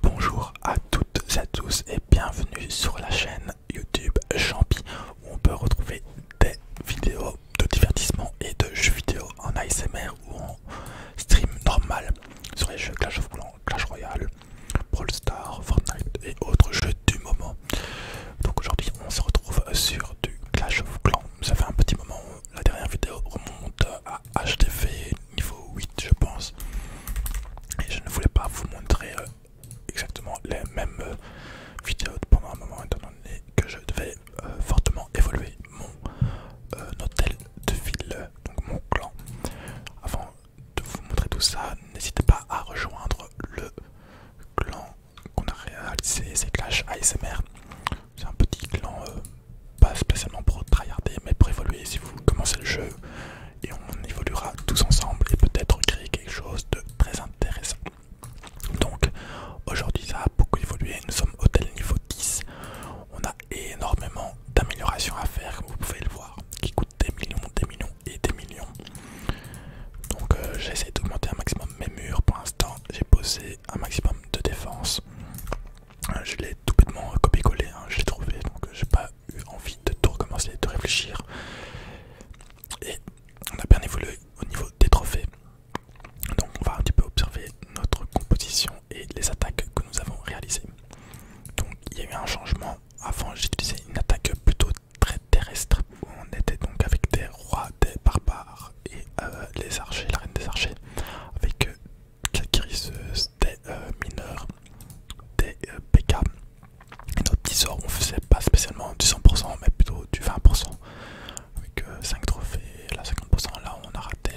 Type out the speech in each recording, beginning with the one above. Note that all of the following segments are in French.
Bonjour à toutes et à tous et bienvenue sur la chaîne YouTube Champi où on peut retrouver des vidéos de divertissement et de jeux vidéo en ASMR ou en stream normal sur les jeux Clash of Clans, Clash Royale, Brawl Stars, Fortnite et autres jeux du moment. Donc aujourd'hui on se retrouve sur du Clash of Clans. Ça fait un petit moment, la dernière vidéo remonte à HTV niveau 8 je pense et je ne voulais pas vous montrer euh, exactement les mêmes euh, vidéos pendant un moment étant donné que je devais euh, fortement évoluer mon hôtel de ville donc mon clan avant de vous montrer tout ça n'hésitez pas à rejoindre le clan qu'on a réalisé c'est Clash ASMR c'est un petit clan pas spécialement pour tryharder, mais pour évoluer si vous commencez le jeu et on évoluera tous ensemble et peut-être créer quelque chose de très intéressant. Donc aujourd'hui ça a beaucoup évolué, nous sommes au tel niveau 10, on a énormément d'améliorations à faire comme vous pouvez le voir, qui coûtent des millions, des millions et des millions. Donc j'ai euh, j'essaie d'augmenter un maximum mes murs, pour l'instant j'ai posé un maximum de défense je l'ai tout bêtement copié-collé, hein, je l'ai trouvé, donc euh, j'ai pas eu envie de tout recommencer, de réfléchir. Et on a bien évolué au niveau des trophées. Donc on va un petit peu observer notre composition et les attaques que nous avons réalisées. Donc il y a eu un changement. Avant j'utilisais une attaque plutôt très terrestre. on était donc avec des rois, des barbares et euh, les archers, la reine des archers, avec euh, 4 guérisseuses, euh, des mineurs, des euh, PK. Et notre petit sort, on faisait pas spécialement du 100%, mais plutôt du 20%. Avec 5 euh, trophées, là 50%, là on a raté.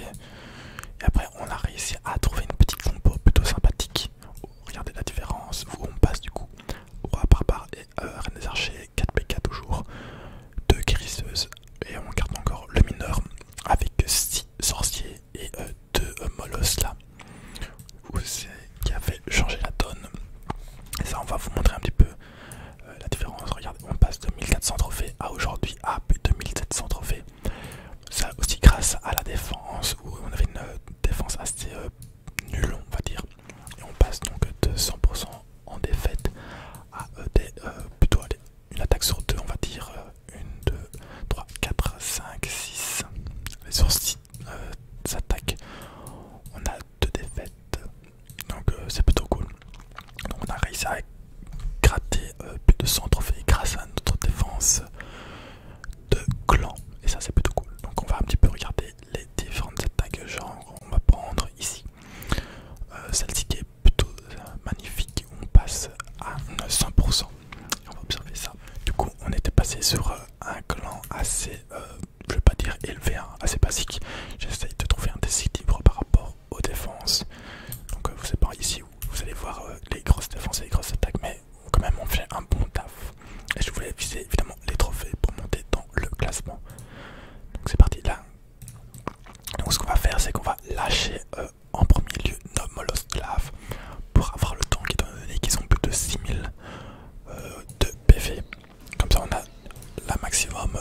Et après, on a réussi à trouver une petite compo plutôt sympathique. Oh, regardez la différence, on passe du coup. au part et reine des archers, 4 PK toujours, 2 guérisseuses. Et on garde encore le mineur avec 6 Sorcier et de euh, deux euh, là où qui avait changé la donne. Et ça, on va vous montrer un petit peu euh, la différence. Regardez, on passe de 1400 trophées à aujourd'hui à plus de 2700 trophées. Ça aussi grâce à la défense où on avait une défense assez nul nulle, on va dire. Et on passe donc de 100% en défaite à des, plutôt à des une attaque sur deux, on va dire. Euh, une, deux, 3, 4, 5, 6. Les sur euh, six On a deux défaites. Donc euh, c'est plutôt cool. Donc on a réussi à gratter plus de 100 trophées grâce à notre défense de clan. Et ça c'est plutôt cool. Donc on va un petit peu regarder les différentes attaques. Genre on va prendre ici. Celle-ci qui est plutôt euh, magnifique, on passe à 100%. On va observer ça. Du coup, on était passé sur euh, un clan assez, euh, je vais pas dire élevé, hein, assez basique. J'essaye de trouver un déséquilibre par rapport aux défenses. Donc, vous savez pas ici où vous allez voir les grosses défenses et les grosses attaques, mais quand même, on fait un bon taf. Et je voulais viser évidemment les trophées pour monter dans le classement. Donc, c'est parti là. Donc, ce qu'on va faire, c'est qu'on va lâcher en premier lieu lave pour avoir le tank étant donné qu'ils ont plus de 6000 euh, de PV. Comme ça on a la maximum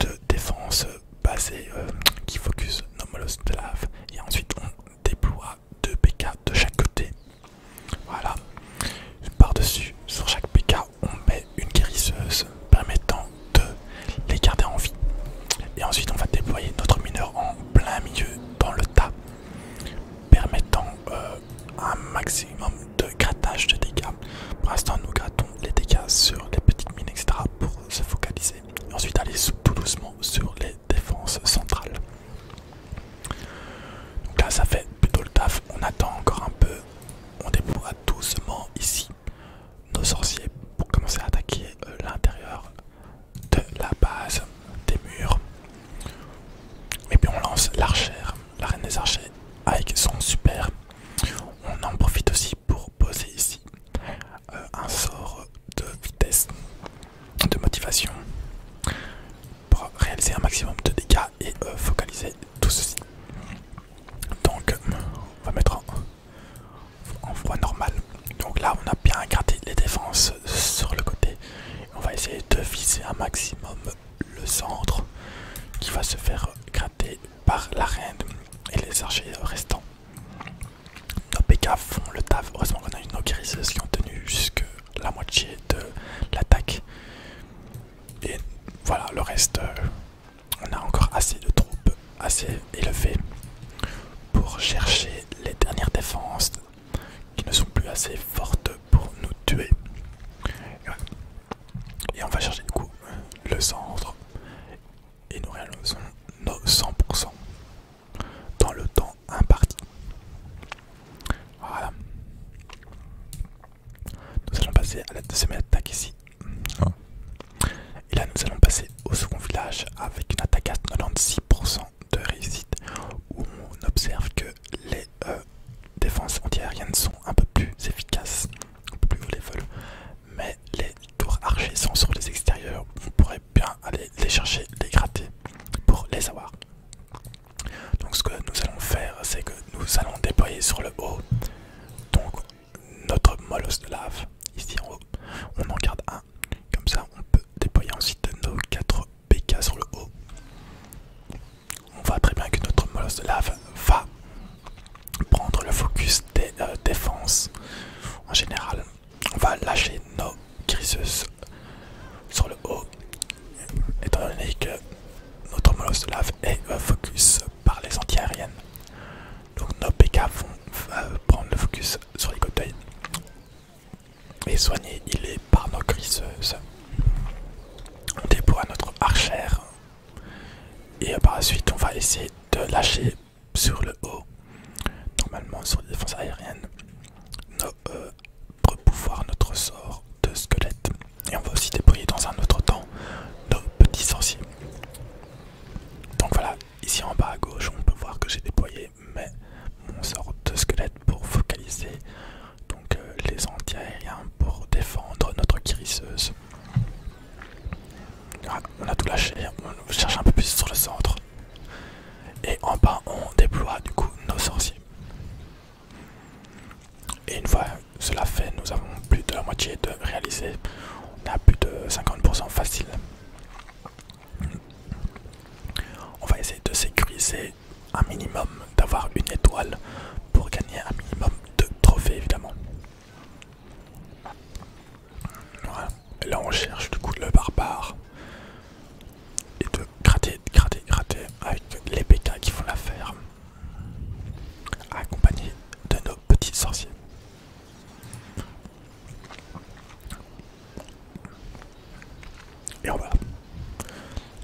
de défense basée euh, qui focus lave et ensuite on déploie 2 PK de chaque côté. Voilà. Par-dessus, sur chaque PK, on met une guérisseuse permettant de les garder en vie. Et ensuite on va déployer notre mineur en plein milieu dans le tas, permettant euh, un maximum de grattage de dégâts. Pour l'instant nous grattons les dégâts sur les petites mines etc. pour se focaliser. Et ensuite aller tout doucement sur les défenses centrales. Donc là ça fait plutôt le taf, on attend encore un peu, on déploie doucement ici nos sorciers pour commencer à attaquer euh, l'intérieur de la base des murs. Et puis on lance l'archère, la reine des archers avec son super. On en profite aussi pour poser ici euh, un sort de vitesse, de motivation pour réaliser un maximum de dégâts et euh, focaliser tout ceci. Donc on va mettre en en voie normale. Donc là, on a bien gratté les défenses sur le côté. On va essayer de viser un maximum le centre qui va se faire gratter par la reine et les archers restants. Nos PK font le taf. Heureusement qu'on a une Nokiris qui ont tenu jusque la moitié de l'attaque. Et voilà, le reste, euh, on a encore assez de troupes assez élevées pour chercher les dernières défenses qui ne sont plus assez fortes pour nous tuer. Et, on va chercher du coup le centre et nous réalisons nos 100% dans le temps imparti. Voilà. Nous allons passer à la deuxième attaque ici. Hein. Et là, nous allons passer au second village avec une attaque à 96% de réussite où on observe que les euh, défenses antiaériennes sont un peu plus efficaces, un peu plus haut level, mais les tours archers sont sur les extérieurs. On pourrait bien aller les chercher, les gratter pour les avoir. Donc, ce que nous allons faire, c'est que nous allons déployer sur le haut notre molosse de lave ici en haut. On en garde un, comme ça on peut déployer ensuite nos 4 PK sur le haut. On voit très bien que notre molosse de lave va prendre le focus des euh, défenses en général. On va lâcher nos griseuses sur le haut, étant donné que notre molosse de lave est un euh, focus par les anti-aériennes. Donc nos PK vont euh, prendre le focus sur les cocktails et soigner il est par nos griseuses euh, On à notre archère et euh, par la suite on va essayer de lâcher sur le haut, normalement sur les défenses aériennes, nos, pouvoir notre sort de squelette. Et on va aussi déployer dans un autre temps nos petits sorciers. Donc voilà, ici en bas à gauche, on peut voir que j'ai déployé mon sort de squelette pour focaliser donc euh, les anti-aériens pour défendre notre guérisseuse. on a tout lâché, on cherche un peu plus sur le centre. Et en bas, on déploie du coup nos sorciers. Et une fois cela fait, nous avons plus de la moitié de réaliser, On a plus de 50% facile. On va essayer de sécuriser un minimum, d'avoir une étoile pour gagner un minimum de trophées évidemment. Et là on cherche du coup le barbare. Et de gratter, gratter, gratter avec les PK qui font la faire accompagné de nos petits sorciers. Et voilà,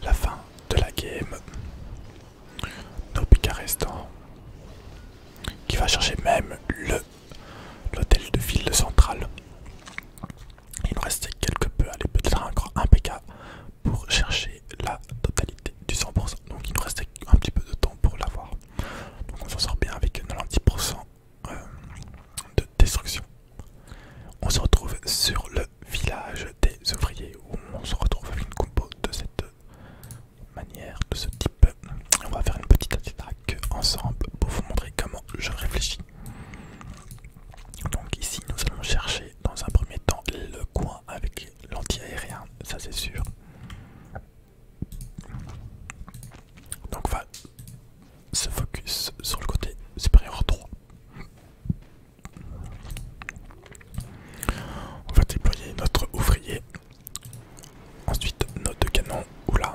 la fin de la game. Nos PK restants, qui va chercher même le l'hôtel de ville centrale. Il nous restait quelque peu, allez peut-être un grand pour chercher la totalité du 100%. Donc il nous reste un petit peu de temps pour l'avoir. Donc on s'en sort bien avec 90% euh, de destruction. On se retrouve sur le village des ouvriers où on se retrouve avec une compo de cette manière, de ce type. On va faire une petite attaque ensemble pour vous montrer comment je réfléchis. Donc ici nous allons chercher dans un premier temps le coin avec l'anti-aérien, ça c'est sûr. Donc on va se focus sur le côté supérieur 3. On va déployer notre ouvrier. Ensuite notre canon. ou Oula.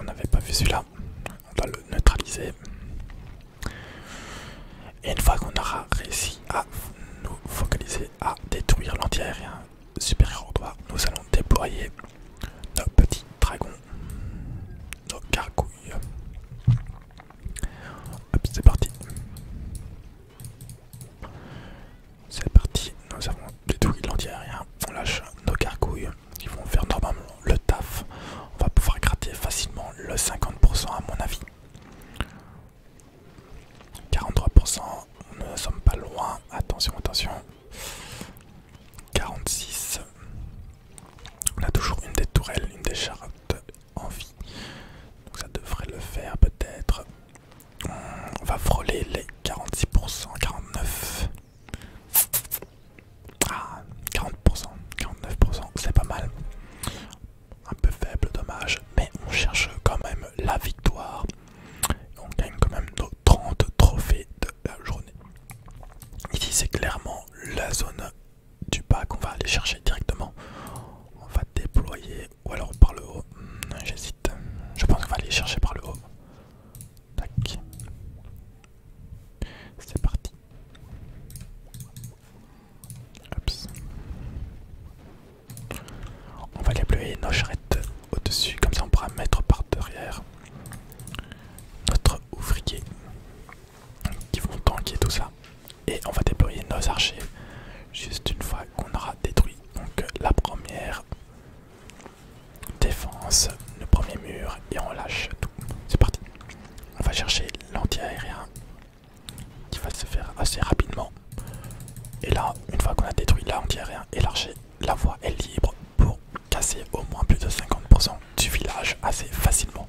On n'avait pas vu celui-là. On va le neutraliser. Et une fois qu'on aura réussi à nous focaliser à détruire l'anti-aérien supérieur droit, nous allons déployer nos petits dragons, nos gargouilles. Hop, c'est parti. C'est parti, nous avons détruit l'anti-aérien, on lâche nos gargouilles qui vont faire normalement le taf. On va pouvoir gratter facilement le 50% à mon avis. 43%, nous ne sommes pas loin, attention, attention. 46, on a toujours une des tourelles, une des charrettes en vie. Donc ça devrait le faire peut-être. On va frôler les 46%, 49%. Ah, 40%, 49%, c'est pas mal un peu faible, dommage, mais on cherche quand même la victoire. On gagne quand même nos 30 trophées de la journée. Ici, c'est clairement la zone du bas qu'on va aller chercher directement. On va déployer ou alors par le haut. Hmm, j'hésite. Je pense qu'on va aller chercher par le haut. Tac. C'est parti. On va déployer nos charrettes au-dessus, comme ça on pourra mettre par derrière notre ouvrier qui vont tanker tout ça. Et on va déployer nos archers juste une fois qu'on aura détruit donc la première défense, le premier mur et on lâche tout. C'est parti. On va chercher l'anti-aérien qui va se faire assez rapidement. Et là, une fois qu'on a détruit l'anti-aérien et l'archer, la voie est libre pour casser au moins plus de 50% du village assez facilement.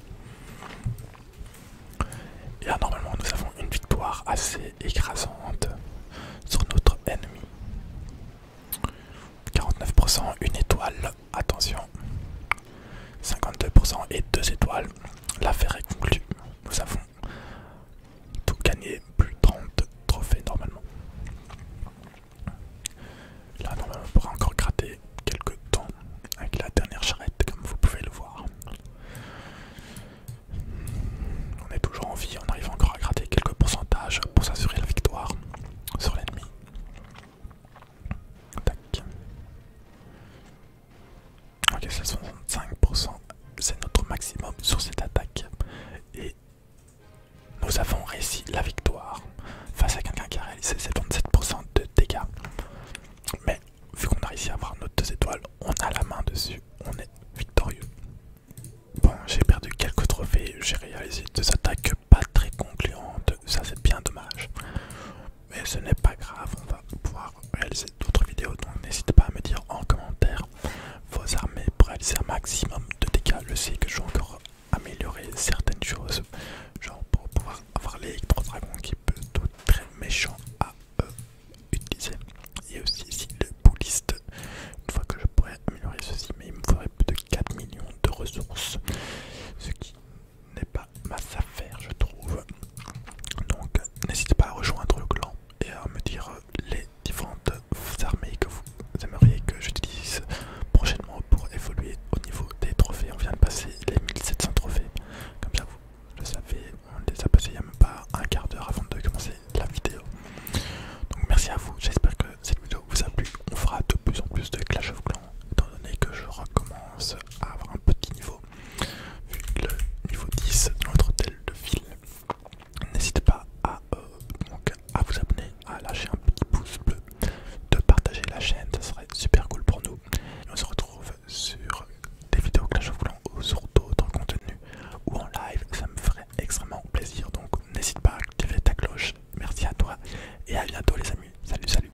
Et là, normalement, nous avons une victoire assez écrasante sur notre ennemi. 49%, une étoile, attention, 52% et 2 étoiles. L'affaire est conclue. Nous avons tout gagné, plus de 30 trophées normalement. Là, normalement, on pourra encore gratter quelques temps avec la dernière charrette, comme vous pouvez le voir. On est toujours en vie, on arrive encore à gratter quelques pourcentages pour s'assurer la victoire sur l'ennemi. Ok, c'est 65%, c'est notre maximum sur cette attaque. Et nous avons réussi la victoire face à quelqu'un qui a réalisé 77% de dégâts. Mais vu qu'on a réussi à avoir nos deux étoiles, on a la main dessus, on est victorieux. Bon, j'ai perdu quelques trophées, j'ai réalisé deux attaques pas très concluantes, ça c'est bien dommage mais ce n'est pas grave, on va pouvoir réaliser d'autres vidéos, donc n'hésitez pas à me dire en commentaire vos armées pour réaliser un maximum de dégâts. Je sais que je vais encore améliorer certaines choses, genre pour pouvoir avoir l'électro-dragon qui peut tout très méchant à Il euh, utiliser. Et aussi ici le bouliste, une fois que je pourrais améliorer ceci, mais il me faudrait plus de 4 millions de ressources, ce qui n'est pas ma affaire je trouve. Donc, n'hésitez pas à rejoindre le clan et à me dire les différentes armées que vous aimeriez que j'utilise prochainement pour évoluer au niveau des trophées. On vient de passer les 1700 trophées, comme ça vous le savez, on les a passés il n'y a même pas un quart d'heure avant de commencer la vidéo. Donc, merci à vous, j'espère que cette vidéo vous a plu. On fera de plus en plus de Clash of Clans étant donné que je recommence à avoir un petit niveau, vu le niveau 10 de notre hôtel de ville. N'hésitez pas euh, à, vous abonner, à lâcher un petit pouce bleu, de partager la chaîne, ça serait super cool pour nous. on se retrouve sur des vidéos que je voulant ou sur d'autres contenus ou en live, ça me ferait extrêmement plaisir. Donc n'hésite pas à activer ta cloche. Merci à toi et à bientôt les amis. Salut, salut.